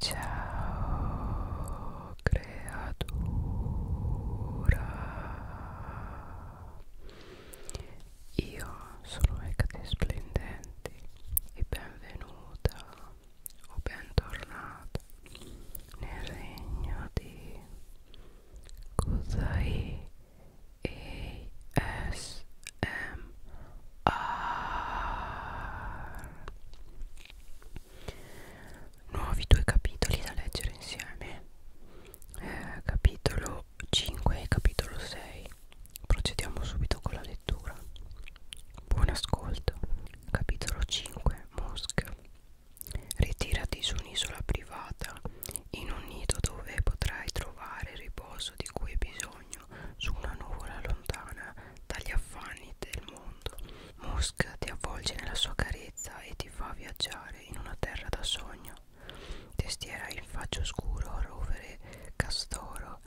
Ciao creatura Io sono Ecate Splendenti e benvenuta o bentornata nel regno di Kusai ASMR ah. nuovi due capitoli da leggere insieme eh, capitolo 5 e capitolo 6 procediamo subito con la lettura buon ascolto capitolo 5 Mosca ritirati su un'isola privata in un nido dove potrai trovare il riposo di cui hai bisogno su una nuvola lontana dagli affanni del mondo. Musk ti avvolge nella sua carezza e ti fa viaggiare in una terra da sogno. Testiera in faccio scuro, rovere, castoro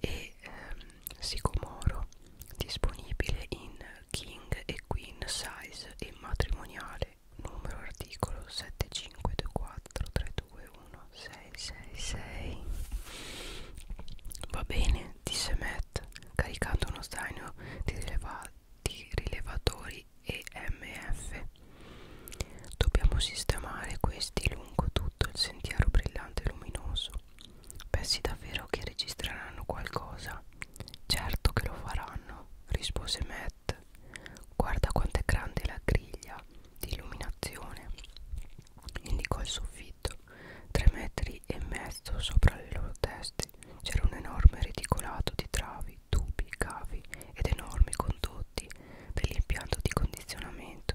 e ehm, sicomoro. Disponibile in king e queen size e matrimoniale. Numero articolo 7524321 11666 va bene disse Matt caricando uno zaino di, rileva di rilevatori EMF dobbiamo sistemare questi lungo tutto il sentiero brillante e luminoso pensi davvero che registreranno qualcosa certo che lo faranno rispose Matt guarda quanto è grande la griglia di illuminazione indicò il soffitto. Tre metri e mezzo sopra le loro teste c'era un enorme reticolato di travi, tubi, cavi ed enormi condotti per l'impianto di condizionamento.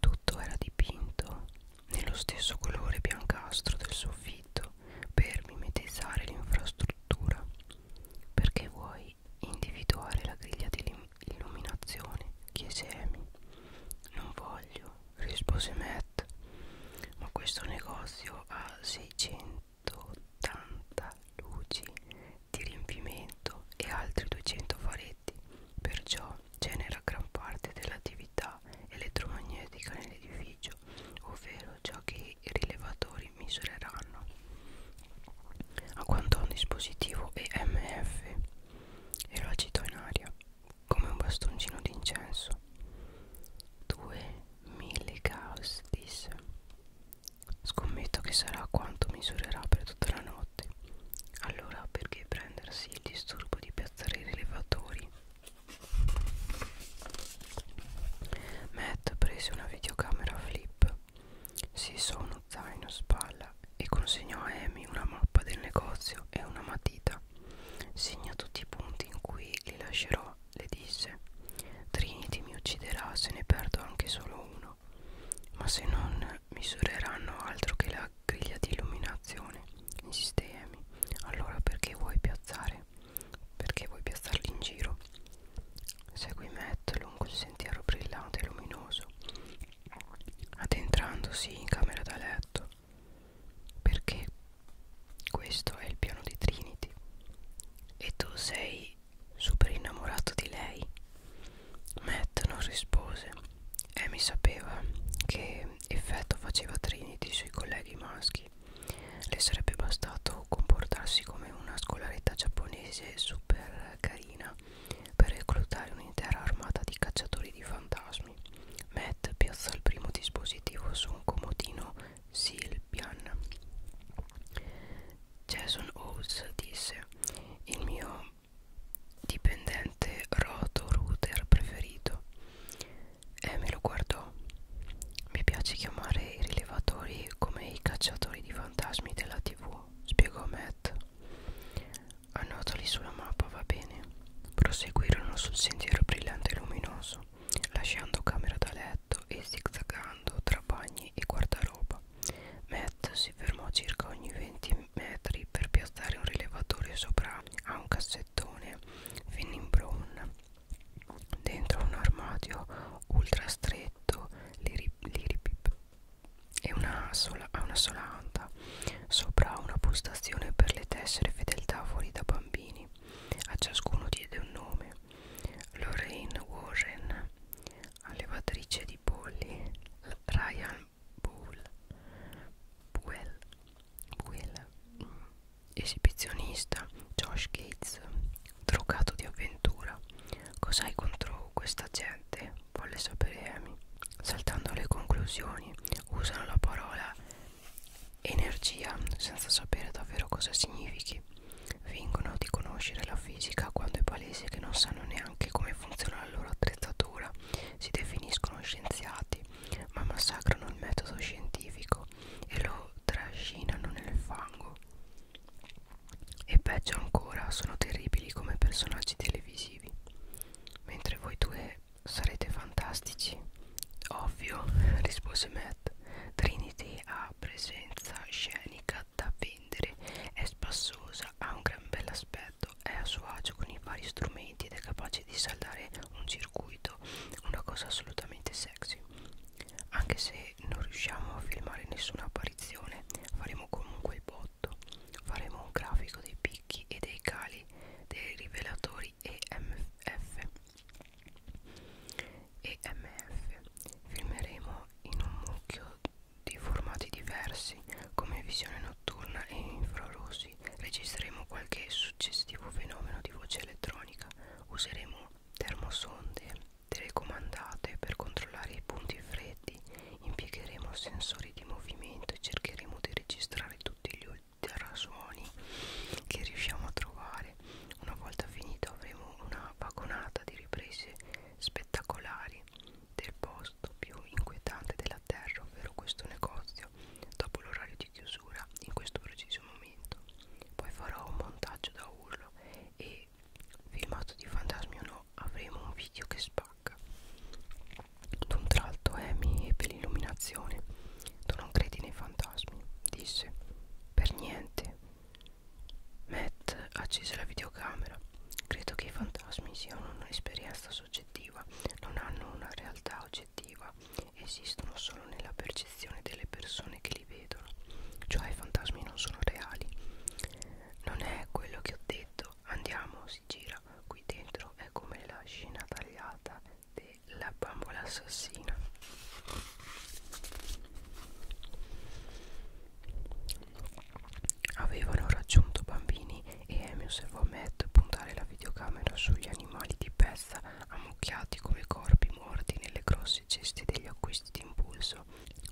Tutto era dipinto nello stesso colore biancastro del soffitto per mimetizzare l'infrastruttura. Perché vuoi individuare la griglia di, illuminazione chiese Amy non voglio rispose Matt ma questo negozio ha 680 luci di riempimento e altri 200 faretti perciò genera gran parte dell'attività elettromagnetica nell'edificio ovvero ciò che i rilevatori misureranno a quanto a un dispositivo EMF e lo agitò in aria come un bastoncino d'incenso. Due mille caos, disse. Scommetto che sarà quanto misurerà per tutta la notte. Allora perché prendersi il disturbo di piazzare i rilevatori? Matt prese una videocamera flip. Si so uno zaino spalla strada e consegnò a Amy una mappa del negozio e una matita. Segna tutti i punti in cui li lascerò, le disse. Trinity mi ucciderà se ne perdo anche solo uno. Ma se non misureranno altro che la griglia di illuminazione, insiste Amy. Allora perché vuoi piazzare? Perché vuoi piazzarli in giro? Segui Matt lungo il sentiero brillante e luminoso addentrandosi in camera da letto perché questo è il piano di Trinity e tu sei super innamorato di lei Matt non rispose Amy sapeva che effetto faceva Trinity sui colleghi maschi le sarebbe bastato comportarsi come una scolarità giapponese super carina per reclutare un'intera armata di cacciatori di fantasmi. Matt piazza il primo dispositivo su un comodino Silpian. Jason Owls disse: Il mio dipendente roto router preferito. E me lo guardò. Mi piace chiamare i rilevatori come i cacciatori di fantasmi della TV, spiegò Matt. Annotali sulla mappa, va bene. Proseguirono sul sentiero brillante e luminoso, lasciando camera da letto e zigzagando tra bagni e guardaroba. Matt si fermò circa ogni 20 metri per piazzare un rilevatore sopra a un cassettone Finning Brown. Dentro un armadio ultra stretto, li, li, li, e una sola, ha una sola anta sopra una postazione per le tessere fedeltà fuori da bambini a ciascuno diede un nome Lorraine Warren allevatrice di polli Ryan Bull Buell, Buell mm. esibizionista Josh Gates drogato di avventura cos'hai contro questa gente? volle sapere Amy. Saltando le conclusioni, usano la parola energia senza sapere davvero cosa significhi. Fingono di conoscere la fisica quando è palese che non sanno neanche come funziona la loro attrezzatura. Si definiscono scienziati, ma massacrano il metodo scientifico e lo trascinano nel fango. E peggio ancora, sono terribili come personaggi televisivi. Mentre voi due sarete fantastici. Ovvio, rispose Matt. Trinity ha presenza scenica da vendere, è spassosa, ha un gran bell'aspetto, è a suo agio con i vari strumenti ed è capace di saldare un circuito, una cosa assolutamente sexy. Anche se non riusciamo a filmare nessuna apparizione, faremo comunque il botto 2008 faremo un grafico dei picchi e dei cali dei rivelatori EMF EMF filmeremo in un mucchio di formati diversi come visione notturna e infrarossi registreremo qualche suggestivo fenomeno di voce elettronica useremo termosonde telecomandate per controllare i punti freddi dati impiegheremo sensori di movimento e cercheremo di registrare tutti gli ultrasuoni che riusciamo a trovare una volta finito avremo una vagonata di riprese spettacolari del posto più inquietante della terra ovvero questo negozio dopo l'orario di chiusura in questo preciso momento poi farò un montaggio da urlo e filmato di fantasmi o no avremo un video che spara spacca. D'un tratto Amy ebbe l'illuminazione. Tu non credi nei fantasmi, disse. Per niente. Matt accese la videocamera. Credo che i fantasmi siano un'esperienza soggettiva, non hanno una realtà oggettiva, esistono solo nella percezione delle persone che li vedono, cioè i fantasmi non sono reali. Non è quello che ho detto, andiamo, si gira qui dentro è come la scena tagliata della bambola assassina avevano raggiunto bambini e Amy osservò Matt puntare la videocamera sugli animali di pezza ammucchiati come corpi morti nelle grosse ceste degli acquisti d'impulso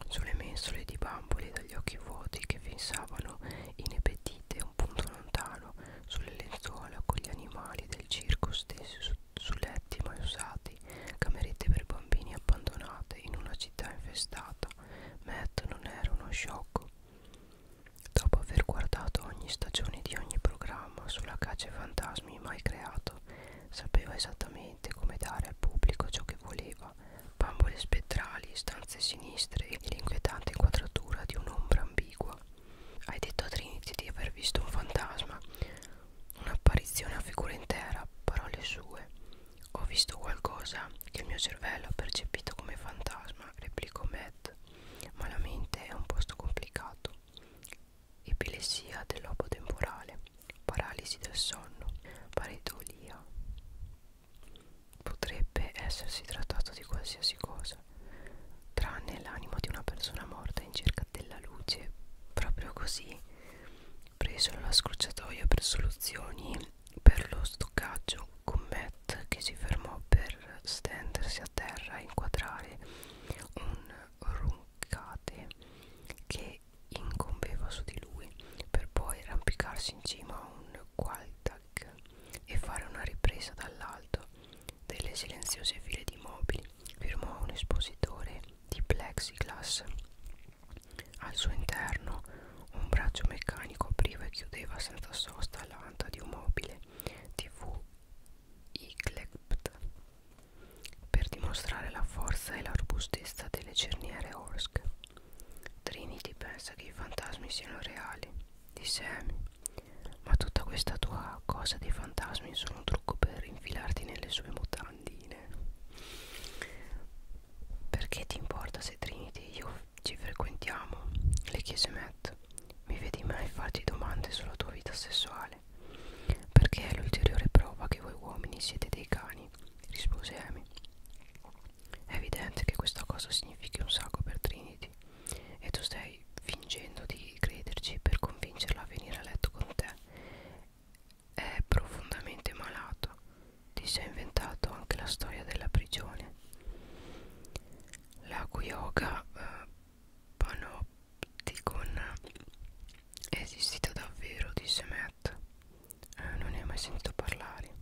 sulle mensole di bambole da gli occhi vuoti che fissavano inepetite un punto lontano sulle lenzuola con gli animali del circo stessi su, su letti mai usati, camerette per bambini abbandonate in una città infestata. Matt non era uno sciocco. Dopo aver guardato ogni stagione di ogni programma sulla caccia ai fantasmi mai creato, sapeva esattamente come dare al pubblico ciò che voleva bambole spettrali, stanze sinistre e l'inquietante inquadratura di un'ombra ambigua. Hai detto a Trinity di aver visto un fantasma, un'apparizione a figura intera, parole sue. Ho visto qualcosa che il mio cervello ha percepito come fantasma, replicò Matt, ma la mente è un posto complicato. Epilessia del lobo temporale, paralisi del sonno, pareidolia potrebbe essersi trattato di qualsiasi cosa, tranne l'anima di una persona morta in cerca della luce. Proprio così presero la scrociatoia per soluzioni per lo stoccaggio con Matt che si fermò per stendersi a terra e inquadrare un runcate che incombeva su di lui per poi arrampicarsi in cima a un qualche jack e fare una ripresa dall'alto delle silenziose file di mobili, firmò un espositore di plexiglass. Al suo interno un braccio meccanico apriva e chiudeva senza sosta l'anta di un mobile TV Yclept per dimostrare la forza e la robustezza delle cerniere Orsk. Trinity pensa che i fantasmi siano reali, disse Amy. Ma tutta questa tua cosa dei fantasmi è solo un trucco per infilarti nelle sue mutandine. Perché ti importa se Trinity e io ci frequentiamo? Le chiese Matt. Mi vedi mai farti domande sulla tua vita sessuale? Perché è l'ulteriore prova che voi uomini siete dei cani, rispose Amy. È evidente che questa cosa significhi un sacco per Trinity e tu stai fingendo di crederci per convincerla a venire a letto con te. È profondamente malato. Ti sei inventato anche la storia della prigione. La Kuyoga eh, Panopticon è esistita davvero, disse Matt. Eh, non ne hai mai sentito parlare.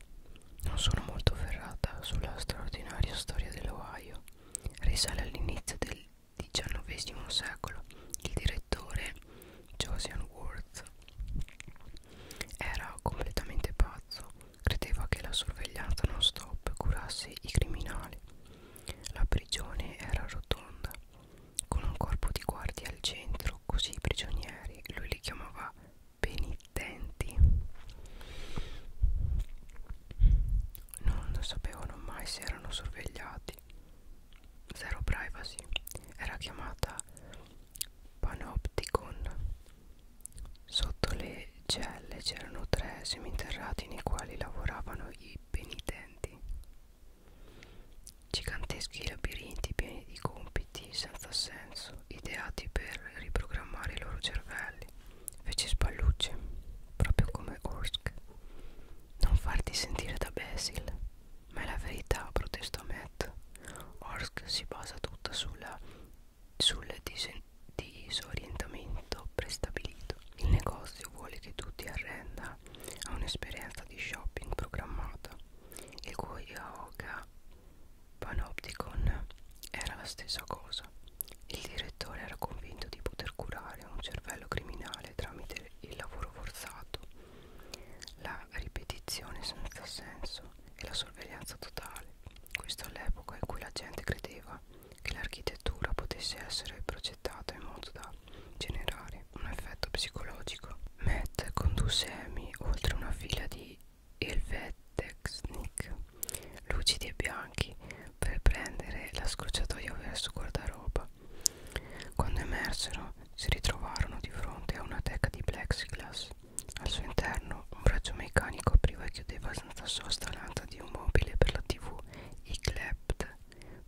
Non sono molto ferrata sulla straordinaria storia dell'Ohio. Risale all'inizio del XIX secolo. Il direttore Josian Worth era completamente pazzo. Credeva che la sorveglianza non stop curasse i criminali. La prigione era rotonda, con un corpo di guardia al centro, così i prigionieri, lui li chiamava penitenti non sapevano mai se erano sorvegliati zero privacy era chiamata panopticon sotto le celle c'erano tre seminterrati nei quali lavoravano i penitenti giganteschi labirinti pieni di compiti senza senso caso ideati per riprogrammare i loro cervelli fece spallucce proprio come Orsk non farti sentire da Basil ma è la verità protestò Matt Orsk si basa tutta sulla, sul disorientamento prestabilito il negozio vuole che tu ti arrenda a un'esperienza di shopping programmata il cui yoga Panopticon era la stessa cosa. Il direttore era convinto di poter curare un cervello criminale tramite il lavoro forzato, la ripetizione senza senso e la sorveglianza totale. Questo all'epoca in cui la gente credeva che l'architettura potesse essere progettata in modo da generare un effetto psicologico. Matt condusse Amy oltre una fila di Helvetexnik lucidi e bianchi per prendere la scrociatoia verso guardaroba. Quando emersero si ritrovarono di fronte a una teca di plexiglass. Al suo interno un braccio meccanico apriva e chiudeva senza sosta l'anta di un mobile per la tv Iglept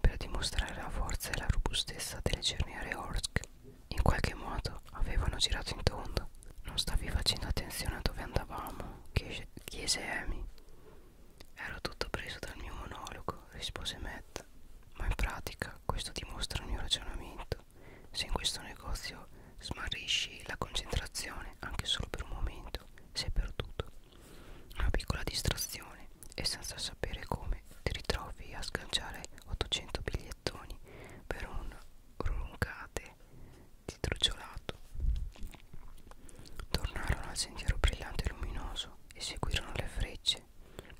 per dimostrare la forza e la robustezza delle cerniere Orsk. In qualche modo avevano girato in tondo. Non stavi facendo attenzione a dove andavamo, chiese Amy. Ero tutto preso dal mio monologo, rispose Matt. Ma in pratica questo dimostra il mio ragionamento. Se in questo negozio smarrisci la concentrazione anche solo per un momento, sei perduto. Una piccola distrazione e senza sapere come ti ritrovi a sganciare 800 bigliettoni per un roncate distruggiolato. Tornarono al sentiero brillante e luminoso e seguirono le frecce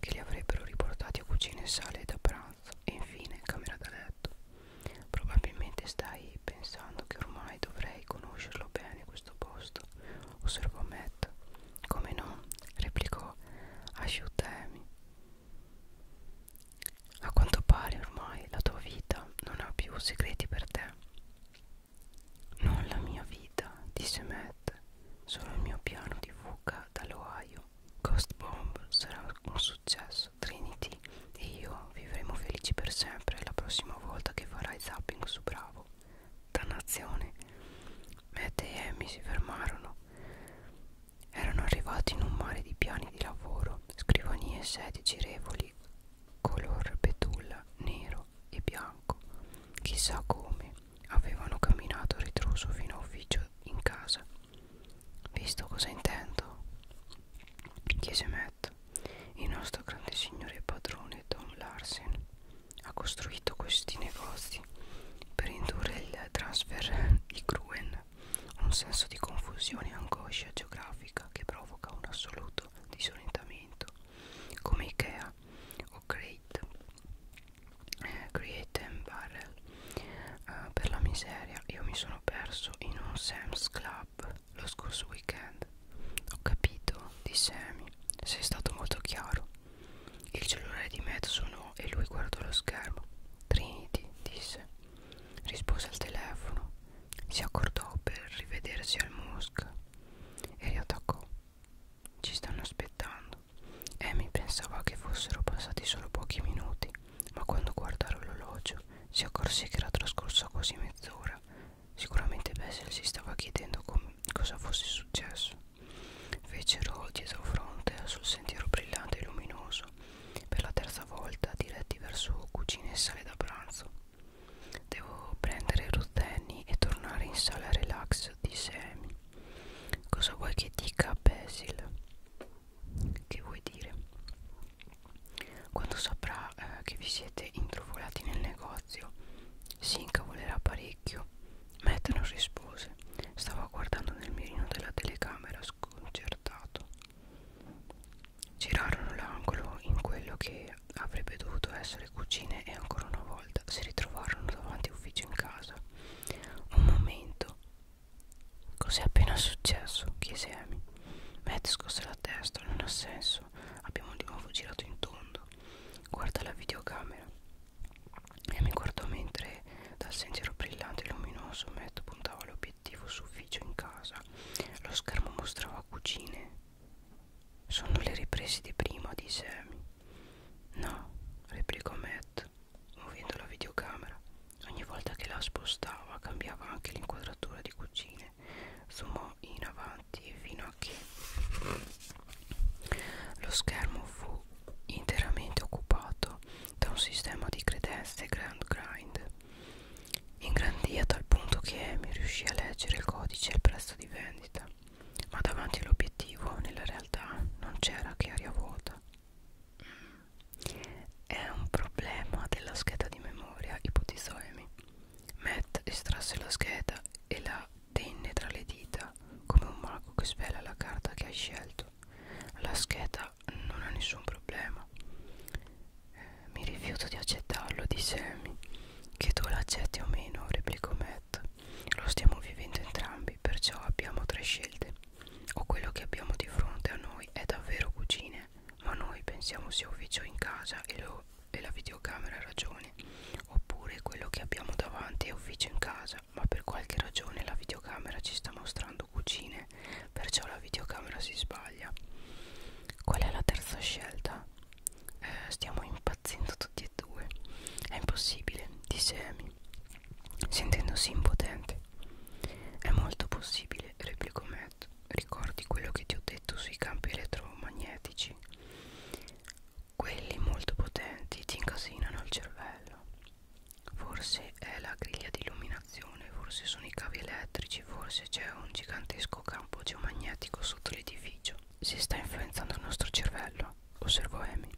che li avrebbero riportati a cucina e sale da pranzo e infine camera da letto. Probabilmente stai pensando che ormai dovrei conoscerlo bene questo posto, osservò Matt. Come no? replicò Asciutemi. A quanto pare ormai la tua vita non ha più segreti per te. Non la mia vita, disse Matt, solo il mio piano di fuga dall'Ohio. Ghost Bomb sarà un successo, Trinity e io vivremo felici per sempre la prossima volta che farai zapping su Bravo. Dannazione. Matt e Amy si fermarono. Erano arrivati in un mare di piani di lavoro, scrivanie e sedie girevoli, color betulla, nero e bianco. Chissà come avevano camminato ritroso fino a ufficio in casa. Visto cosa intendo? chiese Matt. Il nostro grande signore padrone Tom Larsen ha costruito questi negozi per indurre il transfer di Gruen un senso di confusione e angoscia geografica che provoca un assoluto disorientamento, come Ikea o Great, eh, Create and Barrel. Uh, per la miseria, io mi sono perso in un Sam's Club lo scorso weekend. Ho capito, disse Amy, sei stato molto chiaro. Il cellulare di Matt suonò e lui guardò lo schermo. Trinity, disse rispose al telefono, si accordò per rivedersi al Musk e riattaccò. Ci stanno aspettando. Amy pensava che fossero passati solo pochi minuti, ma quando guardò l'orologio si accorse che era trascorsa quasi mezz'ora. Sicuramente Bessel si stava chiedendo cosa fosse successo. Fecero dietro fronte sul sentiero brillante e luminoso per la terza volta diretti verso cucina e sale da pranzo. Devo prendere Ruth Annie e tornare in sala relax, disse Amy. Cosa vuoi che dica a Basil? Che vuoi dire? Quando saprà eh, che vi siete intrufolati nel negozio, si incavolerà parecchio. Matt non rispose. Stava guardando nel mirino della telecamera sconcertato. Girarono l'angolo in quello che avrebbe dovuto essere cucine e ancora una volta si ritrovarono davanti ufficio in casa. Un momento. Cos'è appena successo? chiese Amy. Matt scosse la testa, non ha senso. Abbiamo di nuovo girato in tondo. Guarda la videocamera. E mi guardò mentre dal sentiero brillante e luminoso Matt puntava obiettivo sufficio in casa lo schermo mostrava cucine sono le riprese di prima disse Amy no replicò Matt muovendo la videocamera ogni volta che la spostava cambiava anche l'inquadratura di cucine zoomò in avanti fino a che lo schermo fu interamente occupato da un sistema di credenze Grand Grind. Ingrandì a tal punto che Amy riuscì a leggere il codice e il prezzo di vendita, ma davanti all'obiettivo, nella realtà, non c'era che aria vuota. È un problema della scheda di memoria, ipotizzò Amy. Matt estrasse la scheda e la tenne tra le dita, come un mago che svela la carta che hai scelto fatto la scheda non ha nessun problema eh, mi rifiuto di accettarlo disse Amy che tu l'accetti o meno replicò Matt lo stiamo vivendo entrambi perciò abbiamo tre scelte o quello che abbiamo di fronte a noi è davvero cucine ma noi pensiamo sia ufficio in casa e, lo, e la videocamera ha ragione oppure quello che abbiamo davanti è ufficio in casa ma per qualche ragione la videocamera ci sta mostrando cucine fare perciò la videocamera si sbaglia qual è la terza scelta? Eh, stiamo impazzendo tutti e due è impossibile disse Amy sentendosi impotente è molto possibile replicò Matt ricordi quello che ti ho detto sui campi elettromagnetici quelli molto potenti ti incasinano il cervello Forse è la griglia di illuminazione, forse sono i cavi elettrici, forse c'è un gigantesco campo geomagnetico sotto l'edificio. Si sta influenzando il nostro cervello, osservò Amy.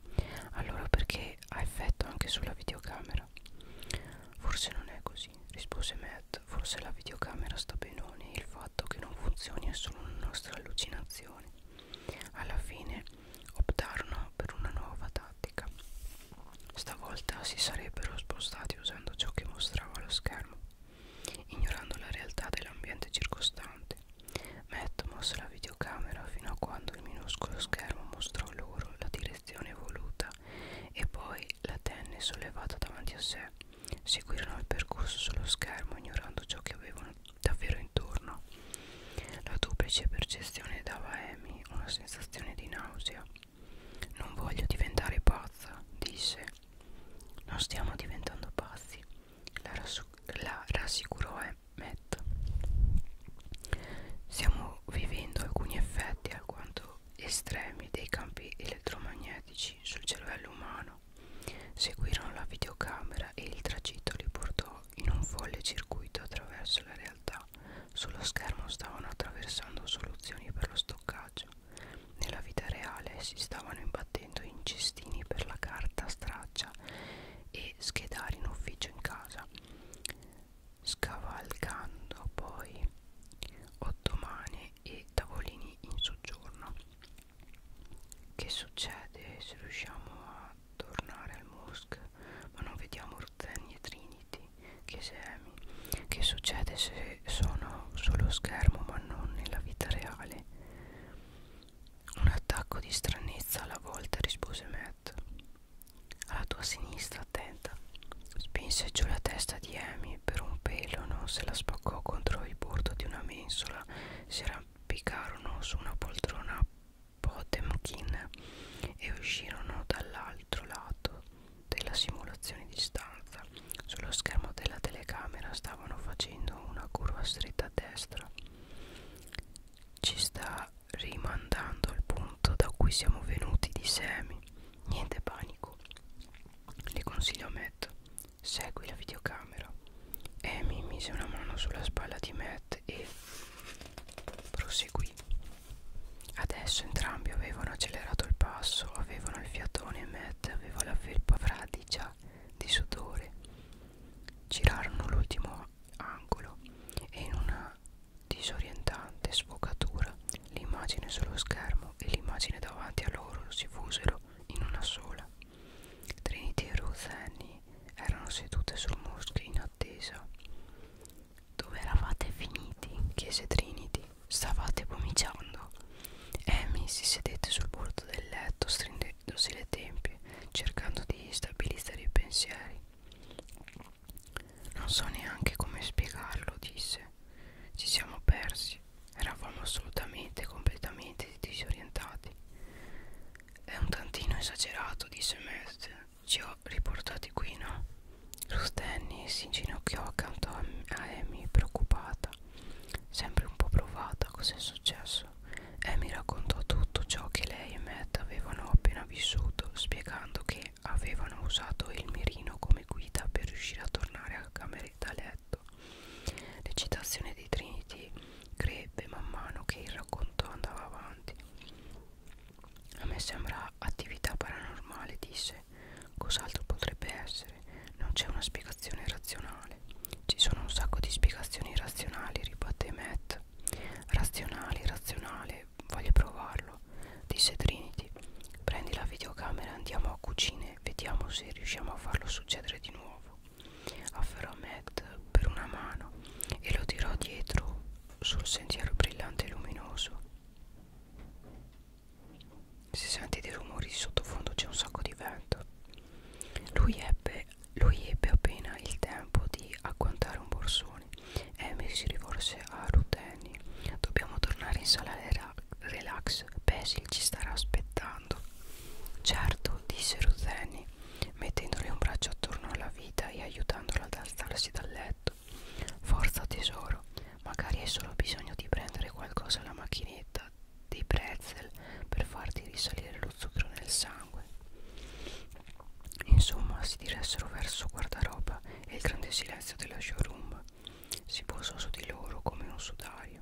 Allora perché ha effetto anche sulla videocamera? Forse non è così, rispose Matt. Forse la videocamera sta benone e il fatto che non funzioni è solo una nostra allucinazione. Alla fine optarono per una nuova tattica. Stavolta si sarebbero spostati usando ciò che mostrava lo schermo, ignorando la realtà dell'ambiente circostante. Matt mosse la videocamera fino a quando il minuscolo schermo mostrò loro la direzione voluta e poi la tenne sollevata davanti a sé. Seguirono il percorso sullo schermo ignorando ciò che avevano davvero intorno. La duplice percezione dava a Amy una sensazione di nausea non voglio diventare pazza, disse. Non stiamo diventando pazzi, la, la rassicurò Matt. Stiamo vivendo alcuni effetti alquanto estremi dei campi elettromagnetici sul cervello umano. Seguirono la videocamera e il tragitto li portò in un folle circuito attraverso la realtà sullo schermo stavano attraversando soluzioni per lo stoccaggio. Nella vita reale si stavano imbattendo in cestini per la carta straccia e schedari in ufficio in casa. Scavalcando poi ottomane e tavolini in soggiorno. Che succede se riusciamo a tornare al Musk ma non vediamo Ruzzani e Trinity? che semi che succede se sono sullo schermo ma non nella vita reale un attacco di stranezza alla volta rispose Matt alla tua sinistra attenta spinse giù la testa di Amy per un pelo non se la spaccò contro il bordo di una mensola si arrampicarono su una poltrona Potemkin e uscirono dall'altro lato della simulazione di stanza sullo schermo della telecamera stavano facendo una curva stretta a destra ci sta rimandando al punto da cui siamo venuti di semi niente panico le consiglio a Matt segui la videocamera Amy mise una mano sulla spalla di Matt e proseguì Adesso entrambi avevano accelerato il passo, avevano il fiatone e Matt aveva la felpa fradicia di sudore. Girarono l'ultimo angolo e in una disorientante sfocatura l'immagine sullo schermo e l'immagine davanti a loro si fusero in una sola. Trinity e Ruth Annie erano sedute sul muschio in attesa. Dove eravate finiti? chiese Trinity. Stavate pomiciando. Amy si sedette sul bordo del letto, stringendosi le tempie, cercando di stabilizzare i pensieri. Non so neanche come spiegarlo, disse. Ci siamo persi. Eravamo assolutamente, completamente disorientati. È un tantino esagerato, disse Mestre ci ho riportati qui, no? Rustenni si inginocchiò accanto a Amy, preoccupata, sempre un po' provata. Cos'è successo? Amy raccontò tutto ciò che lei e Matt avevano appena vissuto, spiegando che avevano usato il mirino come guida per riuscire a tornare a cameretta a letto. L'eccitazione di Trinity crebbe man mano che il racconto andava avanti. A me sembra attività paranormale, disse. Cos'altro potrebbe essere? Non c'è una spiegazione razionale. Ci sono un sacco di spiegazioni razionali, ribatté Matt. Razionali, razionale, voglio provarlo, disse Trinity. Prendi la videocamera, andiamo a cucine, vediamo se riusciamo a farlo succedere di nuovo. Afferrò Matt per una mano e lo tirò dietro sul sentiero brillante e luminoso. Si sente dei rumori di sottofondo, c'è un sacco di vento. Lui ebbe, lui ebbe appena il tempo di agguantare un borsone. Amy si rivolse a Ruteni. Dobbiamo tornare in sala relax. Basil ci starà aspettando. Certo, disse Ruteni, mettendole un braccio attorno alla vita e aiutandola ad alzarsi dal letto. Forza tesoro, magari hai solo bisogno di prendere qualcosa alla macchinetta dei pretzel per farti risalire lo zucchero nel sangue. Insomma, si diressero verso guardaroba e il grande silenzio della showroom si posò su di loro come un sudario.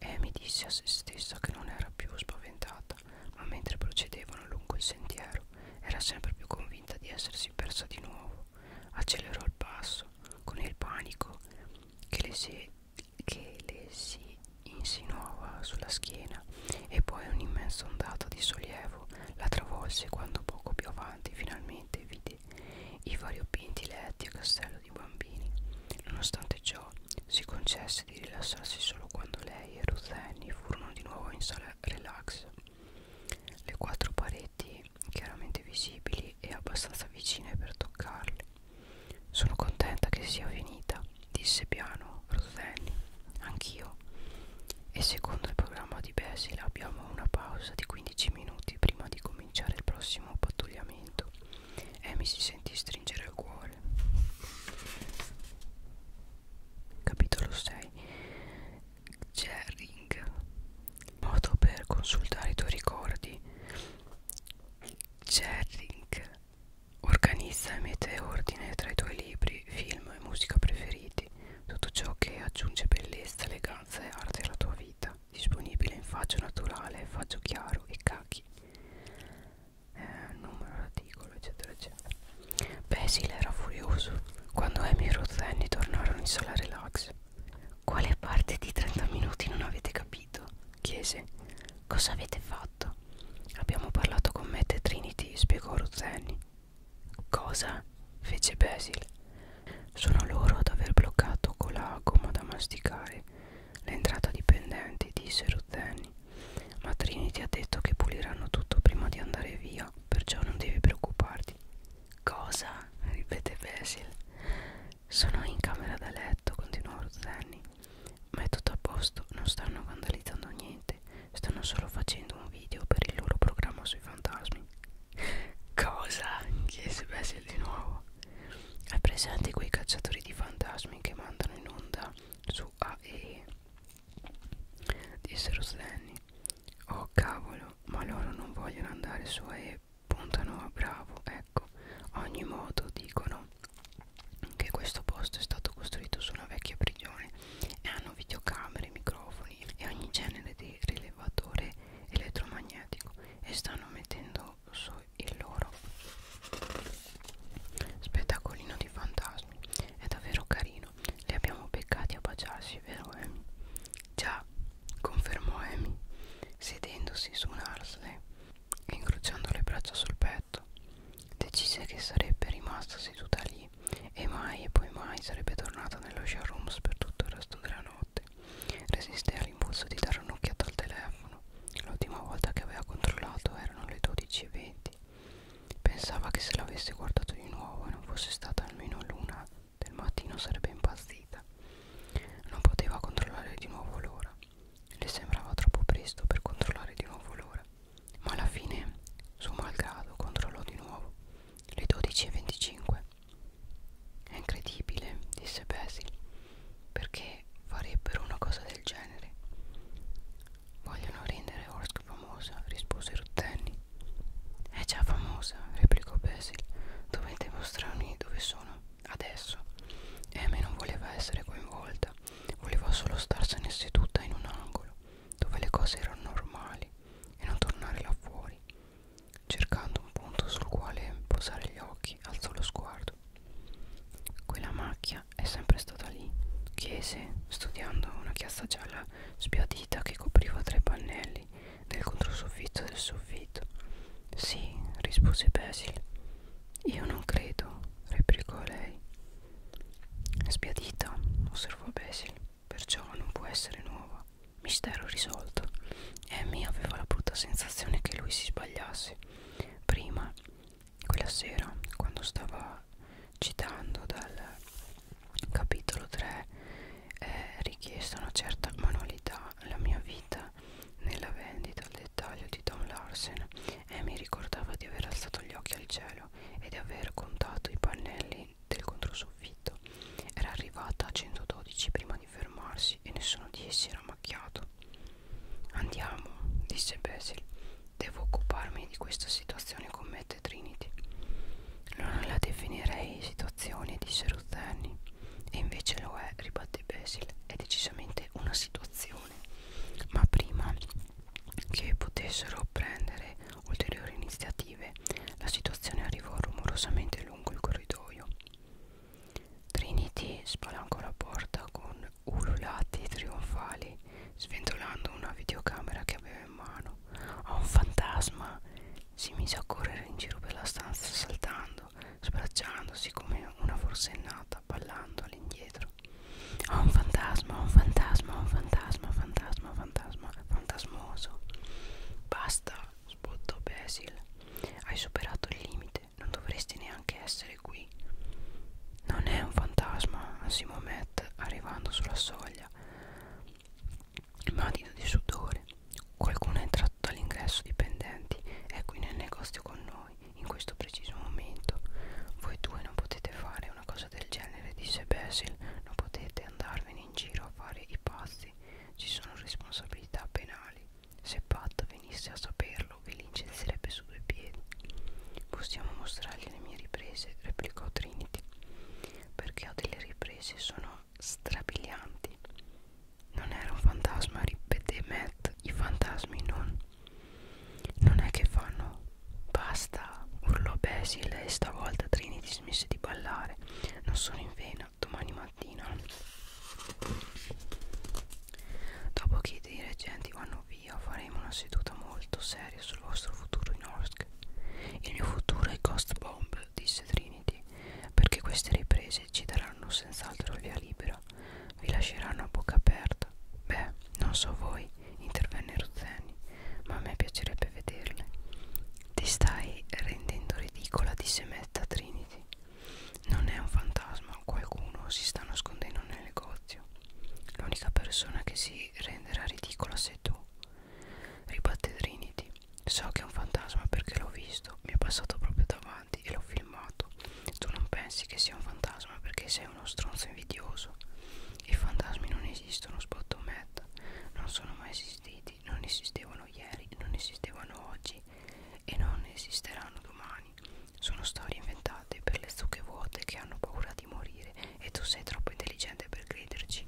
Amy disse a se stessa che non era più spaventata, ma mentre procedevano lungo il sentiero era sempre più convinta di essersi essersi persa di nuovo accelerò il passo con il panico che le si, che le si insinuava sulla schiena e poi un'immensa ondata di sollievo la travolse quando poco più avanti finalmente vide i variopinti letti a castello di bambini nonostante ciò si concesse di rilassarsi solo quando lei e Ruth Annie furono di nuovo in sala relax le quattro pareti chiaramente visibili e abbastanza vicine per toccarle. Sono contenta che sia finita, disse piano Roselli. Anch'io. E secondo il programma di Basil abbiamo una pausa di 15 minuti prima di cominciare il prossimo pattugliamento. Amy si sentì stringere il cuore. Capitolo 6 Jering modo per consultare i tuoi ricordi Jering organizza e mette ordine tra i tuoi libri, film e musica preferiti tutto ciò che aggiunge bellezza, eleganza e arte alla tua vita disponibile in faggio naturale, faggio chiaro e cachi eh, numero, articolo eccetera eccetera Basil era furioso quando Amy e Rosanne tornarono in sala relax. Quale parte di 30 minuti non avete capito? chiese. Cosa avete fatto? Abbiamo parlato con Matt e Trinity, spiegò Rosanne. Cosa? fece Basil. Sono loro ad aver bloccato con la gomma da masticare l'entrata dipendenti, disse Rosanne. Ma Trinity ha detto che puliranno tutto prima di andare via vita, perciò non devi preoccuparti. Cosa? ripete Basil. Sono in camera da letto, continuò Rosanni. Ma è tutto a posto, non stanno vandalizzando niente, stanno solo facendo un video per il loro programma sui fantasmi. Cosa? chiese Basil di nuovo. Hai presente quei cacciatori di fantasmi che mandano in onda su AE? disse Rosanni. Oh cavolo, ma loro non vogliono andare su e puntano a bravo, ecco. Ogni modo dicono che questo posto è stato costruito su una vecchia prigione e hanno videocamere, microfoni e ogni genere di rilevatore elettromagnetico e stanno mettendo su il loro spettacolino di fantasmi. È davvero carino, li abbiamo beccati a baciarsi, vero Amy? Eh? Già, confermò Amy, sedendosi su un arsle e incrociando le braccia sul petto. Decise che sarebbe rimasta seduta lì e mai e poi mai sarebbe tornata nello showrooms per tutto il resto della notte. Resiste all'impulso di dare un'occhiata al telefono. L'ultima volta che aveva controllato erano le 12.20. Pensava che se l'avesse guardato di nuovo e non fosse stata almeno l'una del mattino sarebbe impazzita. Non poteva controllare di nuovo l'ora. Le sembrava troppo presto per controllare di nuovo l'ora. Ma alla fine, suo malgrado, controllò di nuovo. Le 12.25. È incredibile, disse Basil. Perché farebbero una cosa del genere? Vogliono rendere Orsk famosa, rispose Ruttenni. È già famosa, replicò Basil. Dovete mostrarmi dove sono adesso. Amy non voleva essere coinvolta, voleva solo starsene seduta in un angolo, dove le cose erano normali, e non tornare là fuori. Cercando un punto sul quale posare gli occhi, alzò lo sguardo. Quella macchia è sempre stata lì, chiese, studiando una chiazza gialla sbiadita che copriva tre pannelli del controsoffitto del soffitto. Sì, rispose Basil. Io non credo, replicò lei. Sbiadita, osservò Basil, perciò non può essere nuova. Mistero risolto. Amy aveva la brutta sensazione che lui si sbagliasse. Prima, quella sera, quando stava citando dal capitolo 3 è richiesta una certa manualità la mia vita nella vendita al dettaglio di Tom Larsen e mi ricordava di aver alzato gli occhi al cielo e di aver contato i pannelli del controsoffitto era arrivata a 112 prima di fermarsi e nessuno di essi era macchiato andiamo disse Basil devo occuparmi di questa situazione commette Trinity. Non la definirei situazione, disse Ruth Annie. E invece lo è, ribatte Basil. È decisamente una situazione. Ma prima che potessero prendere ulteriori iniziative, la situazione arrivò rumorosamente lungo il corridoio. Trinity spalancò la porta con ululati trionfali, sventolando una videocamera che aveva in mano a un fantasma si mise a correre in giro per la stanza saltando sbracciandosi come una forsennata ballando all'indietro a un fantasma a un fantasma a un fantasma fantasma fantasma fantasmoso basta sbottò Basil hai superato il limite non dovresti neanche essere qui non è un fantasma, assimò Matt arrivando sulla soglia matita di sudore. Qualcuno è entrato dall'ingresso dipendenti, è ecco, qui nel negozio con noi, in questo preciso momento. Voi due non potete fare una cosa del genere, disse Basil, non potete andarvene in giro a fare i pazzi, ci sono responsabilità penali. Se Pat venisse a saperlo, vi lincezerebbe su due piedi. Possiamo mostrargli le mie riprese, replicò Trinity perché ho delle riprese sono strabilianti non era un fantasma ripete Matt i fantasmi non non è che fanno basta urlò Basil e stavolta Trinity smise di ballare non sono in vena domani mattina dopo che i dirigenti vanno via faremo una seduta molto seria sul vostro futuro in Orsk il mio futuro è Ghost Bomb, disse Trinity, perché queste riprese ci daranno senz'altro via libera, vi lasceranno a bocca aperta. Beh, non so voi, intervenne Ruzzani, ma a me piacerebbe vederle. Ti stai rendendo ridicola, disse Metta Trinity. Non è un fantasma, qualcuno si sta nascondendo nel negozio. L'unica persona che si renderà ridicola sei tu ribatte Trinity. So che è un fantasma perché l'ho visto, mi è passato proprio davanti e l'ho filmato. Tu non pensi che sia un fantasma perché sei uno stronzo invidioso. I fantasmi non esistono, spotto Matt. Non sono mai esistiti, non esistevano ieri, non esistevano oggi e non esisteranno domani. Sono storie inventate per le zucche vuote che hanno paura di morire e tu sei troppo intelligente per crederci.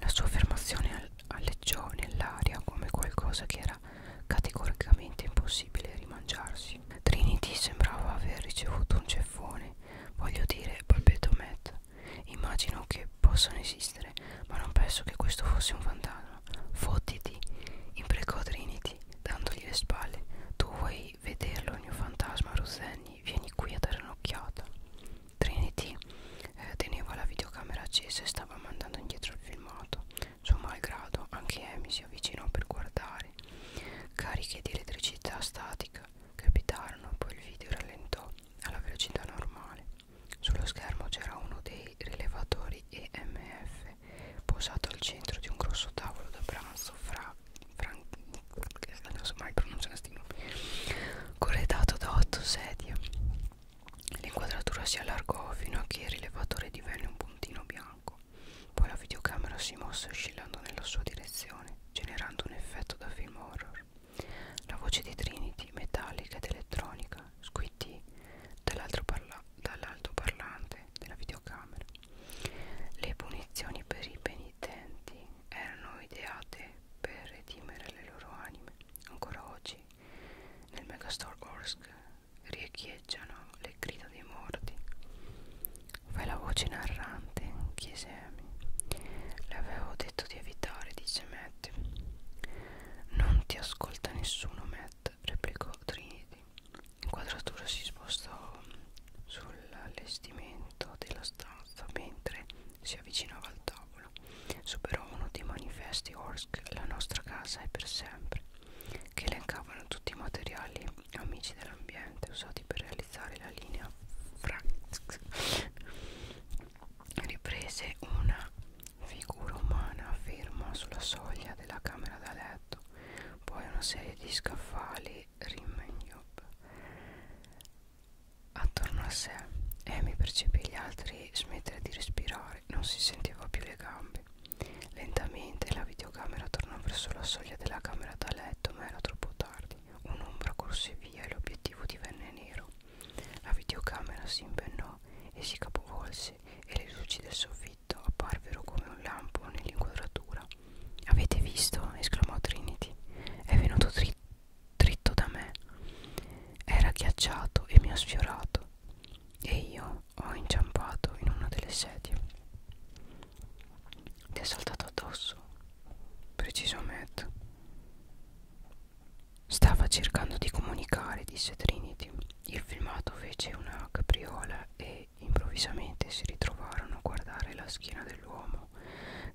La sua affermazione alleggiò nell'aria come qualcosa che era categoricamente impossibile rimangiarsi. Trinity sembrava aver ricevuto un ceffone. Voglio dire, balbettò Matt, immagino che possano esistere, ma non penso che questo fosse un fantasma. Fottiti, imprecò Trinity, dandogli le spalle. Tu vuoi vederlo il mio fantasma, Rosenni? Vieni qui a dare un'occhiata. Trinity eh, teneva la videocamera accesa e stava mandando indietro il filmato. Suo malgrado, anche Amy si avvicinò per guardare. Cariche di elettricità statica crepitarono, poi il video rallentò alla velocità normale. Sullo schermo c'era uno dei rilevatori EMF posato al centro di un grosso tavolo da pranzo fra Frank, non so mai pronunciare sti nomi corredato da otto sedie l'inquadratura si allargò fino a che il rilevatore divenne un puntino bianco poi la videocamera si mosse oscillando nella sua direzione generando un effetto da film horror la voce di Trinity metallica ed elettronica squittì dall'alto parla parlante della videocamera le punizioni per i penitenti erano ideate per redimere le loro anime. Ancora oggi nel megastore Orsk riecheggiano le grida dei morti. Fai la voce narrante, chiese Amy. Le avevo detto di evitare, dice Matt. Non ti ascolta nessuno, Matt, replicò Trinity. L'inquadratura si spostò sull'allestimento della stanza mentre si avvicinava al tavolo. Superò uno dei manifesti Orsk, la nostra casa è per sempre, che elencavano tutti i materiali amici dell'ambiente usati per realizzare la linea Franks. Riprese una figura umana ferma sulla soglia della camera da letto, poi una serie di scaffali Rimmel attorno a sé. Amy percepì gli altri smettere di respirare, non si sentiva più le gambe. Lentamente la videocamera tornò verso la soglia della camera da letto, ma era troppo tardi. Un'ombra corse via e l'obiettivo divenne nero. La videocamera si impennò e si capovolse e le luci del soffitto apparvero come un lampo nell'inquadratura. Avete visto? esclamò Trinity. È venuto dritto dritto da me era ghiacciato e mi ha sfiorato e io ho inciampato in una delle sedie ti è saltato addosso precisamente stava cercando di comunicare disse Trinity il filmato fece una capriola e improvvisamente si ritrovarono a guardare la schiena dell'uomo Giacomo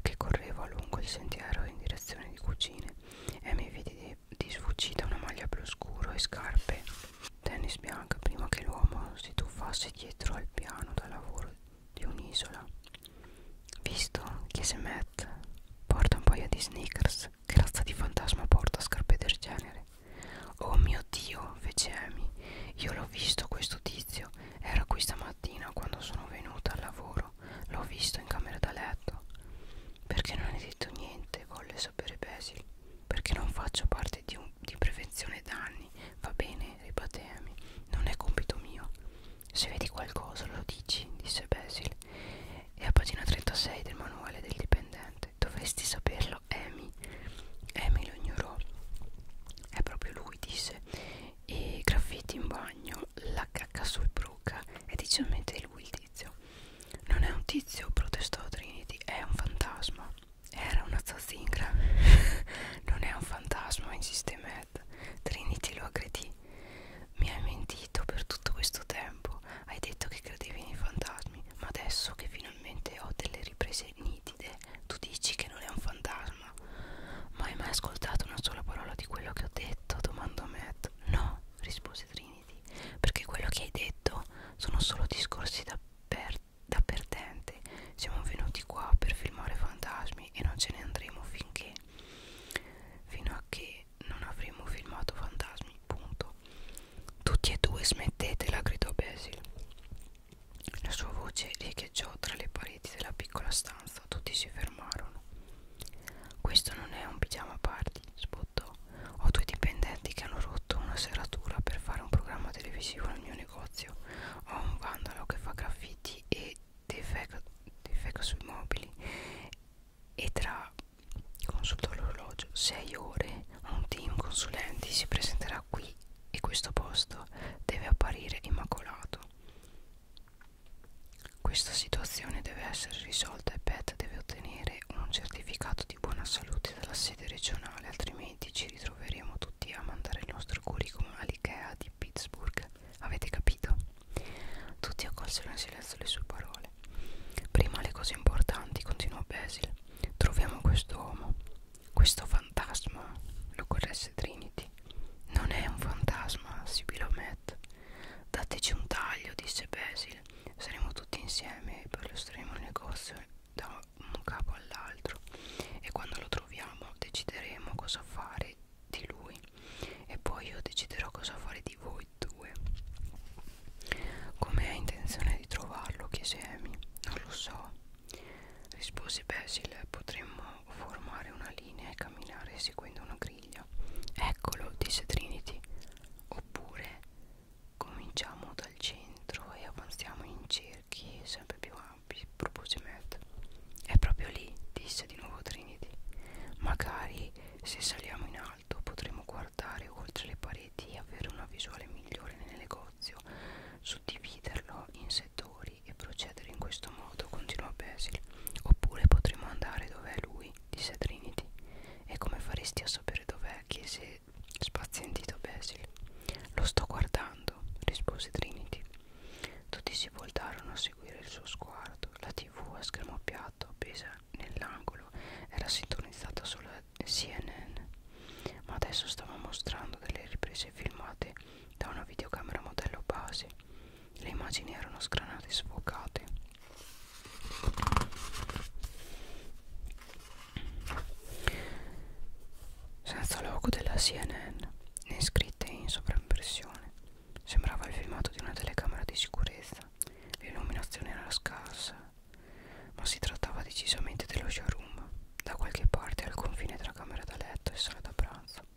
che correva lungo il sentiero in direzione di cucine e mi vide di, di sfuggita una maglia blu scuro e scarpe tennis bianca prima che l'uomo si tuffasse dietro al piano da lavoro di un'isola. Visto? chiese Matt. Porta un paio di sneakers. Che razza di fantasma porta scarpe del genere? Oh mio dio, fece Amy. Io l'ho visto questo tizio. Era qui stamattina mattina quando sono venuta al lavoro l'ho visto in camera da letto. Perché non hai detto niente? Volle sapere Basil. Perché non faccio parte di, un, di prevenzione danni. Va bene, ribatte Amy. Non è compito mio. Se vedi qualcosa lo dici, disse Basil. E a pagina 36 del manuale del dipendente. Dovresti saperlo, Amy. Amy lo ignorò. È proprio lui, disse e graffiti in bagno, la cacca sul bruca e decisamente lui il tizio. Non è un tizio, protestò Trinity, è un fantasma. Era una zazingra. non è un fantasma, insiste Matt. Trinity lo aggredì. Mi hai mentito per tutto questo tempo. Hai detto che credevi nei fantasmi, ma adesso che finalmente ho delle riprese nitide, tu dici che non è un fantasma sarcasmo. Ma hai mai ascoltato una sola parola di quello che ho detto? domandò Matt. No, rispose Trinity, perché quello che hai detto sono solo discorsi da, per, da perdente. Siamo venuti qua per filmare fantasmi e non ce ne andremo finché. Fino a che non avremo filmato fantasmi, punto. Tutti e due smettetela, gridò Basil. La sua voce riecheggiò tra le pareti della piccola stanza terrazza tutti si fermarono. Questo non è un pigiama party, spottò. Ho due dipendenti che hanno rotto una serratura per fare un programma televisivo nel mio negozio. Ho un vandalo che fa graffiti e defeca, defeca sui mobili e tra consultò l'orologio 6 ore un team consulenti si presenterà qui e questo posto deve apparire immacolato questa situazione deve essere risolta e Pat deve ottenere un certificato di buona salute dalla sede regionale, altrimenti ci ritroveremo tutti a mandare il nostro curriculum all'IKEA di Pittsburgh. Avete capito? Tutti accolsero in silenzio le sue parole. Prima le cose importanti, continuò Basil. Troviamo questo uomo, questo fantasma, lo corresse Trinity. Non è un fantasma, sibilò Matt. Dateci un taglio, disse Basil. Saremo tutti insieme e perlustreremo il negozio da un capo all'altro. E quando lo troviamo decideremo cosa fare di lui. E poi io deciderò cosa fare di voi due. Come hai intenzione di trovarlo? chiese Amy. Non lo so, rispose Basil. Potremmo formare una linea e camminare seguendo una griglia. Eccolo, disse Trinity. Oppure cominciamo dal centro e avanziamo in cerchi sempre più ampi, propose Matt. È proprio lì, disse di nuovo Trinity. Magari se saliamo in alto potremo guardare oltre le pareti e avere una visuale migliore nel negozio, suddividerlo in settori fuori e procedere in questo modo, continuò Basil. Oppure potremmo andare dov'è lui, disse Trinity. E come faresti a sapere dov'è? chiese spazientito Basil. Lo sto guardando, rispose Trinity. Tutti si voltarono a seguire il suo sguardo. La tv a schermo piatto, appesa nell'angolo, era sintonizzata sulla CNN. Ma adesso stava mostrando delle riprese filmate da una videocamera modello base. Le immagini erano scranate e sfocate. Senza logo della CNN né scritte in sovraimpressione. Sembrava il filmato di una telecamera di sicurezza. L'illuminazione era scarsa, ma si trattava decisamente dello showroom, da qualche parte al confine tra camera da letto e sala da pranzo.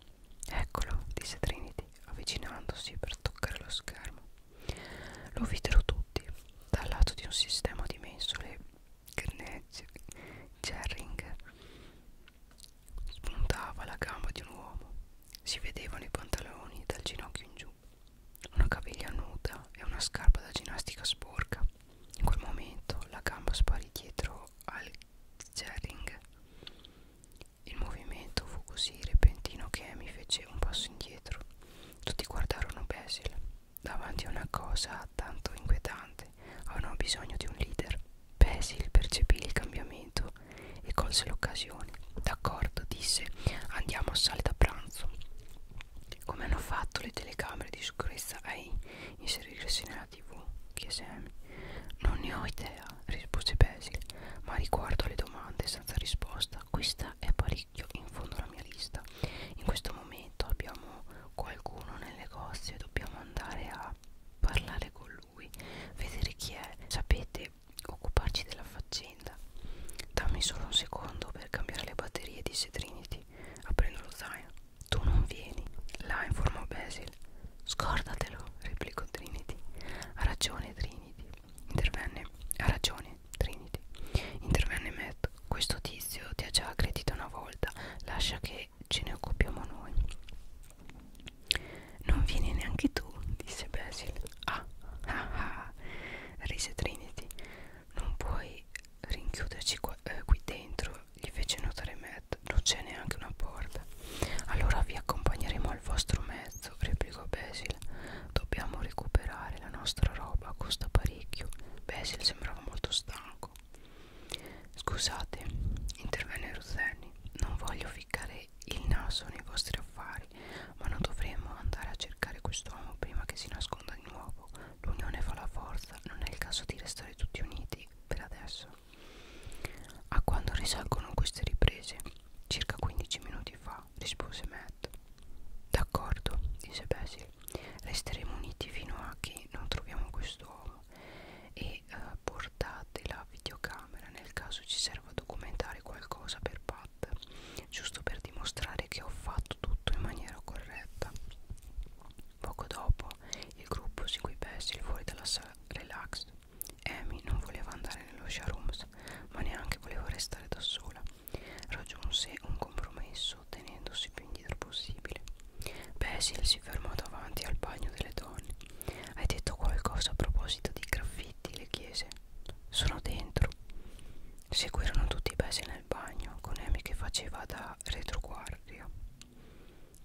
Eccolo, disse Trinity, avvicinandosi per toccare lo schermo. Lo videro tutti, dal lato di un sistema di mensole Gerring spuntava la gamba di un uomo. Si vedevano i pantaloni dal ginocchio in giù, una caviglia nuda e una scarpa da ginnastica sporca. In quel momento la gamba sparì dietro al Gerring il movimento fu così repentino che Amy fece un passo indietro. Tutti guardarono Basil. Davanti a una cosa tanto inquietante, avevano bisogno di un leader. Basil percepì il cambiamento e colse l'occasione. D'accordo, disse, andiamo a sale da pranzo. Come hanno fatto le telecamere di sicurezza a inserirsi nella la tv? chiese Amy. Non ne ho idea, rispose Basil, ma riguardo alle domande senza risposta, questa è parecchio in fondo alla mia lista. In questo momento abbiamo qualcuno nel negozio e dobbiamo andare a parlare con lui, vedere chi è, sapete, occuparci della faccenda. Dammi solo un secondo per cambiare le batterie, disse Trinity, aprendo lo zaino tu non vieni, là informò Basil. Scordatelo, replicò Trinity. Ha ragione Trinity, intervenne. Ha ragione Trinity, intervenne Matt. Questo tizio ti ha già aggredito una volta, lascia che ce ne occupiamo noi. Non vieni neanche tu, disse Basil. Ah, ah, ah, rise Trinity. Non puoi rinchiuderci qua, eh, qui dentro gli fece notare Matt, non c'è neanche una porta. Allora vi accompagneremo al vostro mezzo, replicò Basil. Dobbiamo recuperare la nostra roba, costa parecchio. Basil sembrava molto stanco. Scusate, intervenne Ruzeni, non voglio ficcare il naso nei vostri affari, ma non dovremmo andare a cercare quest'uomo prima che si nasconda di nuovo. L'unione fa la forza, non è il caso di restare tutti uniti per adesso. A quando risalgono queste riprese? Circa 15 minuti fa, rispose Matt. D'accordo, disse Basil. Resteremo uniti fino a che non troviamo quest'uomo e eh, portate la videocamera nel caso ci serva a documentare qualcosa per Pat, giusto per dimostrare che ho fatto tutto in maniera corretta. Poco dopo il gruppo seguì Basil fuori dalla sala relax. Amy non voleva andare nello showrooms, ma neanche voleva restare da sola. Raggiunse un compromesso tenendosi più indietro possibile. Basil si fermò davanti al bagno delle donne. Hai detto qualcosa a proposito di graffiti? le chiese. Sono dentro. Seguirono tutti i Basil nel bagno, con Amy che faceva da retroguardia.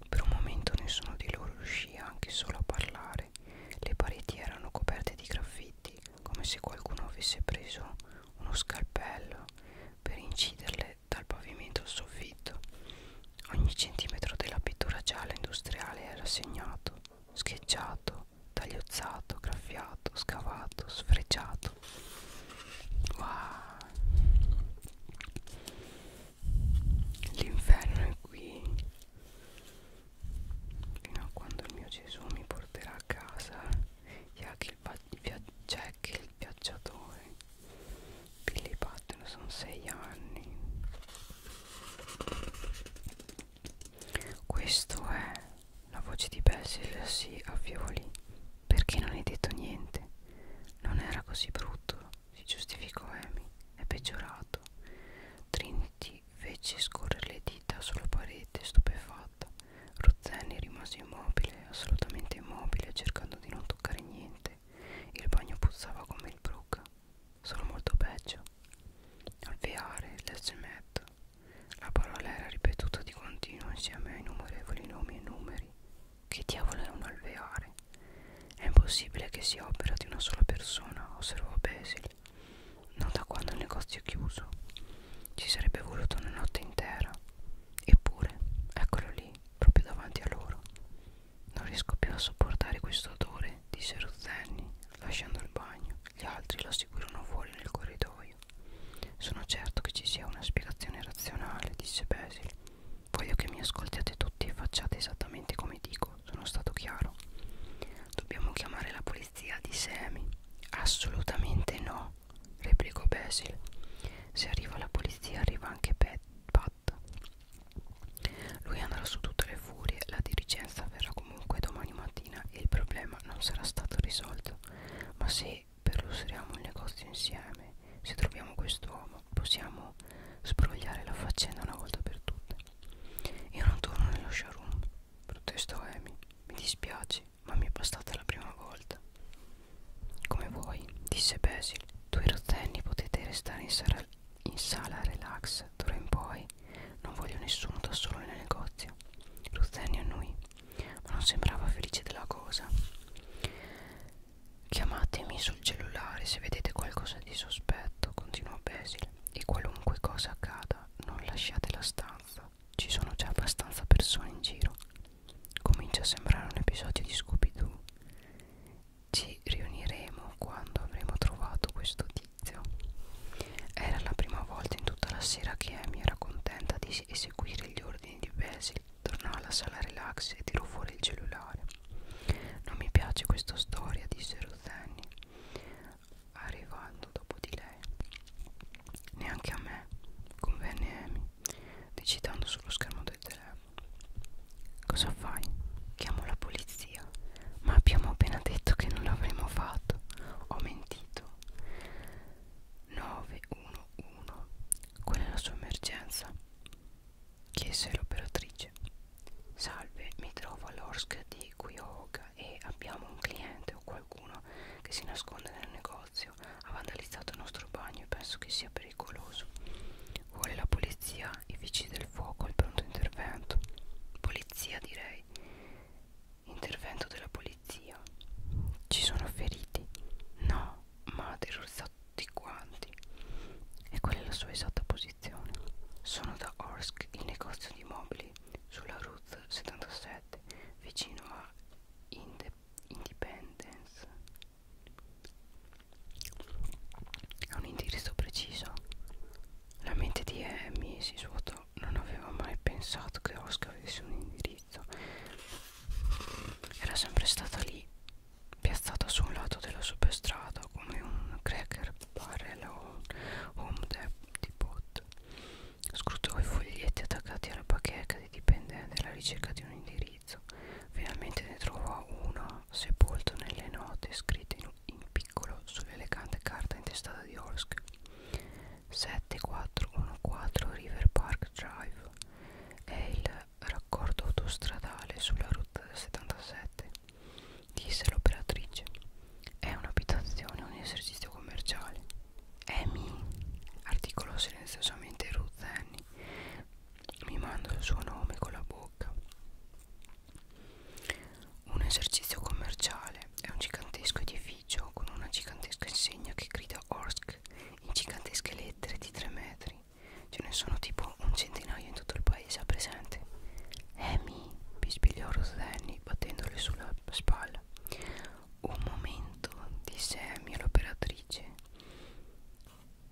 Per un momento nessuno di loro riuscì anche solo a parlare. Le pareti erano coperte di graffiti, come se qualcuno avesse preso uno scalpello per inciderle dal pavimento al soffitto. Ogni centimetro della pittura gialla industriale era segnato, scheggiato, tagliozzato, graffiato, scavato, sfrecciato. Wow. L'inferno è qui fino a quando il mio Gesù mi porterà a casa Jack il, Jack il viaggiatore Billy Patton sono sei anni questo è la voce di Basil si a Fioli perché non hai detto niente non era così brutto si giustificò Amy, è peggiorato. Trinity fece scorrere le dita sulla parete, stupefatta. Rozzeni rimase immobile, assolutamente immobile, cercando di non toccare niente. Il bagno puzzava come il brook, solo molto peggio. Alveare, l'escemetto. La parola era ripetuta di continuo insieme a innumerevoli nomi e numeri. Che diavolo è un alveare? È impossibile che sia opera di una sola persona, osservò Basil. Non da quando il negozio è chiuso. Ci sarebbe voluto una notte intera. Eppure, eccolo lì, proprio davanti a loro. Non riesco più a sopportare questo odore, disse Ruzzenni, lasciando il bagno. Gli altri lo seguirono fuori nel corridoio. Sono certo che ci sia una spiegazione razionale, disse Basil. Voglio che mi ascoltiate tutti e facciate esattamente come dico. Sono stato chiaro. Dobbiamo chiamare la polizia di Sammy. Assolutamente no, replicò Basil. Se arriva la polizia arriva anche Pat. Lui andrà su tutte le furie, la dirigenza verrà comunque domani mattina e il problema non sarà stato risolto. Ma se perluseriamo il negozio insieme, se troviamo quest'uomo possiamo sbrogliare la faccenda una volta per tutte. Io non torno nello showroom, protestò Amy. Mi dispiace, ma mi è bastata la prima volta. Come vuoi, disse Basil. Due rotenni potete restare in sala, in sala relax d'ora in poi. Non voglio nessuno da solo nel negozio. Ruzzeni annui, ma non sembrava felice della cosa. Chiamatemi sul cellulare se vedete qualcosa di sospetto, continuò Basil, e qualunque cosa accada non lasciate la stanza, ci sono già abbastanza persone in giro. Comincia a sembrare un episodio di Scooby-Doo. Ci riuniremo quando avremo trovato questo tizio. Era la prima volta in tutta la sera che Amy era contenta di eseguire gli ordini di Basil. Tornò alla sala relax e tirò fuori il cellulare. Non mi piace questa storia, disse Ruzanni, arrivando dopo di lei. Neanche a me, convenne Amy, digitando sullo schermo del telefono. Cosa fai? Chiamo la polizia. Ma abbiamo appena detto che non l'avremmo fatto. Ho mentito. 911. Quella è la sua emergenza chiese l'operatrice. Salve, mi trovo all'Orsk di Cuyahoga e abbiamo un cliente o qualcuno che si nasconde nel negozio. Ha vandalizzato il nostro bagno e penso che sia pericoloso. Vuole la polizia, i vigili del fuoco, il pronto intervento. Polizia direi. Intervento della polizia. Ci sono feriti? No, ma terrorizzato tutti quanti e quella è la sua esatta posizione sono da Orsk il negozio di mobili sulla Route 77 vicino a Inde Independence ha un indirizzo preciso la mente di Amy si svuotò non aveva mai pensato che Orsk avesse un indirizzo era sempre stata lì piazzata su un lato della superstrada come un cracker barrel o home depot. Scrutò i foglietti attaccati alla bacheca dei dipendenti alla ricerca di un indirizzo. Finalmente ne trovò uno sepolto nelle note scritte in, in piccolo sull'elegante carta intestata di Orsk. 7414 River Park Drive è il raccordo autostradale sulla rotta del 77 disse l'operatrice è un'abitazione un esercizio commerciale Amy articolò silenziosamente Ruth Annie mimando il suo nome con la bocca un esercizio commerciale è un gigantesco edificio con una gigantesca insegna che grida Orsk in gigantesche lettere di 3 metri Ce ne sono tipo un centinaio in tutto il paese a presente. Amy, bisbigliò Rosanny battendole sulla spalla. Un momento, disse Amy all'operatrice,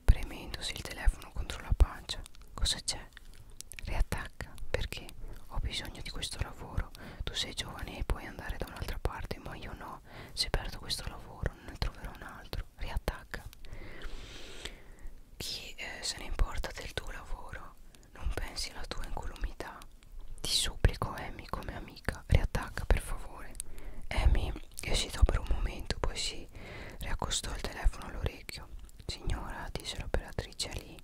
premendosi il telefono contro la pancia. Cosa c'è? Riattacca, perché ho bisogno di questo lavoro. Tu sei giovane e puoi andare da un'altra parte, ma io no. Se perdo questo lavoro non ne troverò un altro riattacca chi eh, se ne importa del tuo lavoro non pensi alla tua incolumità ti supplico Amy come amica riattacca per favore Amy esitò per un momento poi si riaccostò il telefono all'orecchio signora disse l'operatrice lì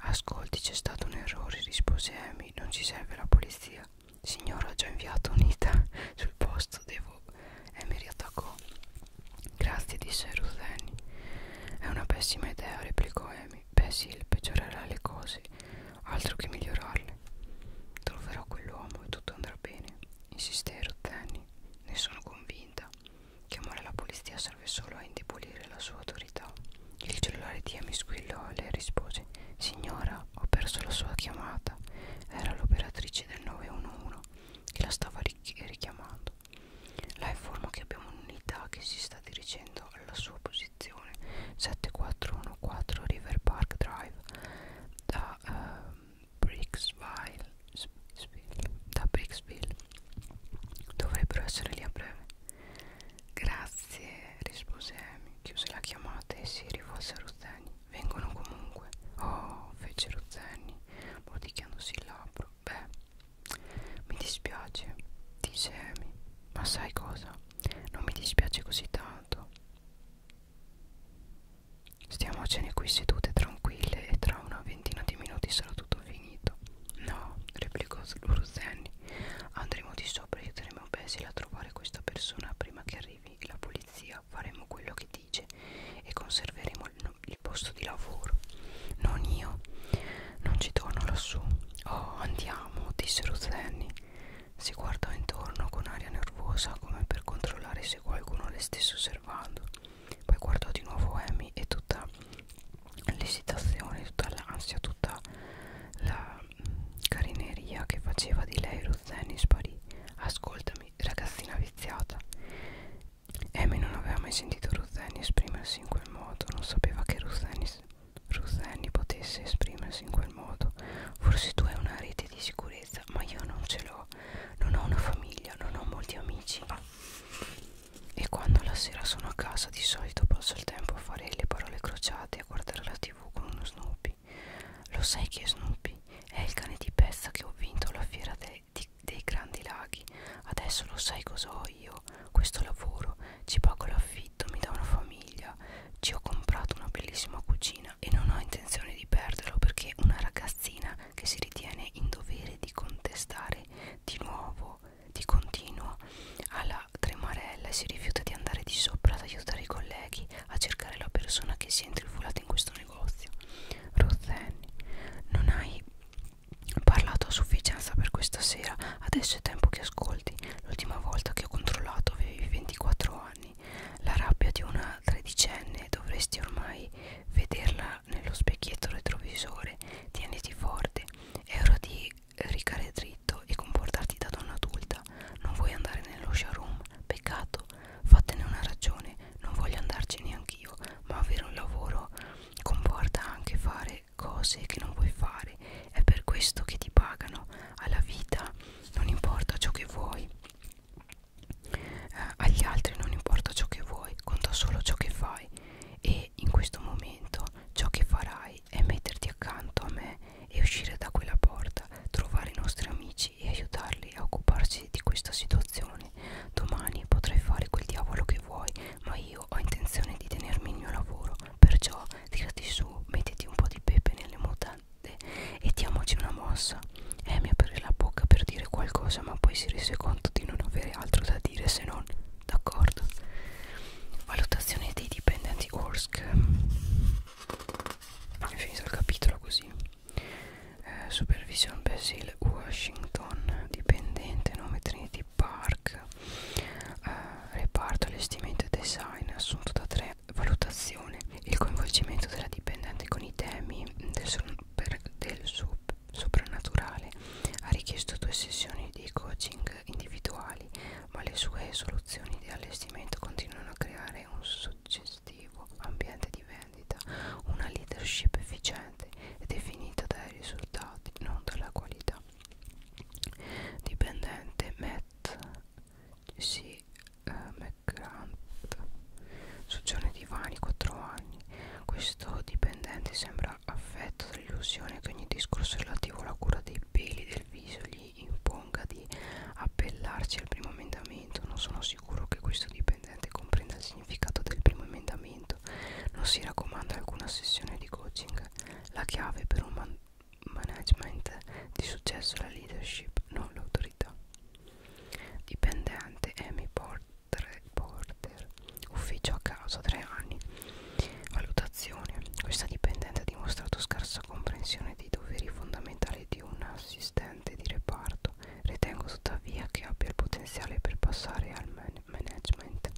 ascolti c'è stato un errore rispose Amy non ci serve la polizia signora ho già inviato un'unità sul posto devo Amy riattaccò Grazie, disse Rutheni. È una pessima idea, replicò Amy. Beh sì, peggiorerà le cose, altro che migliorarle. Troverò quell'uomo e tutto andrà bene, insisté Rutheni. Ne sono convinta. Chiamare la polizia serve solo a indebolire la sua autorità. Il cellulare di Amy squillò e le rispose: Signora, ho perso la sua chiamata. Era l'operatrice del 911 che la stava richiamando. La informo che abbiamo un'unità che si sta dirigendo alla sua posizione 7414 River Park Drive da uh, Brixville. Da Brixville dovrebbero essere lì a breve. Grazie, rispose Amy. Chiuse la chiamata e si rivolse a Ruthenia vengono comunque. Oh, fecero Zenny, mordicchiandosi il labbro. Beh, mi dispiace, disse Amy, ma sai cosa? Non mi dispiace così tanto. Stiamocene qui sedute tranquille e tra una ventina di minuti sarà tutto finito. No, replicò Ruzenni. Andremo di sopra e aiuteremo Basil a trovare questa persona prima che arrivi la polizia faremo quello che dice e conserveremo il, il posto di lavoro. Non io, non ci torno lassù. Oh, andiamo, disse Ruzzenni. Si guardò intorno con aria nervosa come per controllare se qualcuno le stesse osservando. Poi guardò di nuovo Amy e tutta l'esitazione, tutta l'ansia, tutta la mm, carineria che faceva di lei Ruzzeni sparì. Ascoltami ragazzina viziata. Amy non aveva mai sentito Ruth Annie esprimersi in quel modo, non sapeva che Ruth Annie, Ruth Annie potesse esprimersi in quel modo. Forse tu hai una rete di sicurezza, ma io non ce l'ho. Non ho una famiglia, non ho molti amici. E quando la sera sono a casa di solito passo il tempo a fare le parole crociate e a guardare la tv con uno Snoopy. Lo sai che è Snoopy? è il cane di pezza che ho vinto alla fiera de, di, dei grandi laghi adesso lo sai cos'ho io questo lavoro ci pago l'affitto mi dà una famiglia ci ho comprato una bellissima cucina e non ho intenzione di perderlo perché una ragazzina che si ritiene in dovere di contestare di nuovo di continuo alla tremarella e si rifiuta di andare di sopra ad aiutare i colleghi a cercare la persona che si è intrufulata entrato in questo negozio. Rozenni, non hai parlato a sufficienza per questa sera. Adesso è tempo che ascolti. L'ultima volta che ho controllato avevi 24 anni. La rabbia di una tredicenne dovresti ormai vederla nello specchietto retrovisore. Tieniti forte. È ora di ricare dritto e comportarti da donna adulta. Non vuoi andare nello showroom? Peccato, Fatene una ragione, non voglio andarci neanch'io, ma avere un lavoro comporta anche fare cose che non vuoi fare. È per questo che ti pagano. Alla vita non importa ciò che vuoi. Eh, agli altri non importa ciò che vuoi, conta solo ciò che fai. E in questo momento ciò che farai è metterti accanto a me e uscire da quella porta, trovare i nostri amici amici e aiutarli a occuparsi di questa situazione. Domani potrai fare quel diavolo che vuoi, ma io ho intenzione di tenermi il mio lavoro. Perciò tirati su, mettiti un po' di pepe nelle mutande e diamoci una mossa. Amy aprì la bocca per dire qualcosa, ma poi si rese conto di non avere altro da dire se non d'accordo. Valutazione dei dipendenti Orsk. È finito il capitolo così eh, Supervision Basil Washington dipendente nome Trinity Park eh, reparto allestimento e design assunto da tre valutazione il coinvolgimento della dipendente con i temi del, super, del sub, soprannaturale ha richiesto due sessioni di coaching individuali ma le sue soluzioni di allestimento continuano a creare un suggestivo lavorativo, ambiente di vendita, una leadership efficiente è definita dai risultati, non dalla qualità. Dipendente Matt C. Uh, eh, McGrath, soggiorno divani 4 anni. Questo dipendente sembra affetto dall'illusione che ogni discorso relativo alla cura dei peli del viso gli imponga di appellarsi al primo emendamento. Non sono sicuro che questo dipendente comprenda il significato del primo emendamento. Non si raccomanda alcuna sessione di coaching. La chiave per un man management di successo è la leadership, non l'autorità. Dipendente Amy Porter, Porter, ufficio a casa, tre anni. Valutazione. Questa dipendente ha dimostrato scarsa comprensione dei doveri fondamentali di un assistente di reparto Ritengo tuttavia che abbia il potenziale per passare al man management.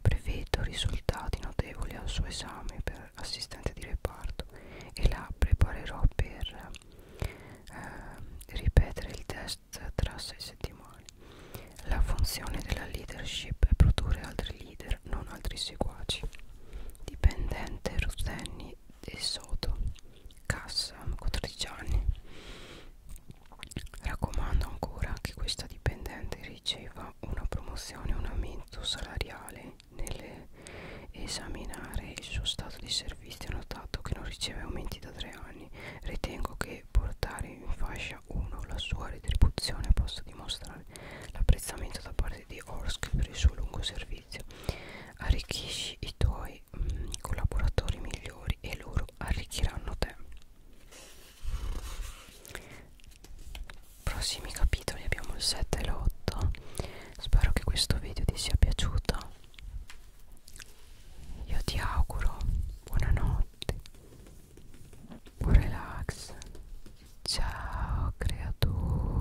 Prevedo risultati notevoli al suo esame per assistente di reparto e la preparerò per eh, ripetere il test tra sei settimane. La funzione della leadership è produrre altri leader, non altri seguaci. Dipendente Ruzzeni Giovanni De Soto Cassa, 14 anni raccomando ancora che questa dipendente riceva una promozione un aumento salariale nell'esaminare il suo stato di servizio ho notato che non riceve aumenti da tre anni ritengo che portare in fascia 1 la sua retribuzione possa dimostrare l'apprezzamento da parte di Orsk per il suo lungo servizio arricchisci i tuoi avrai mh, collaboratori migliori e loro arricchiranno te prossimi capitoli abbiamo il 7 e l'8 spero che questo video ti sia piaciuto io ti auguro buonanotte buon relax ciao creatura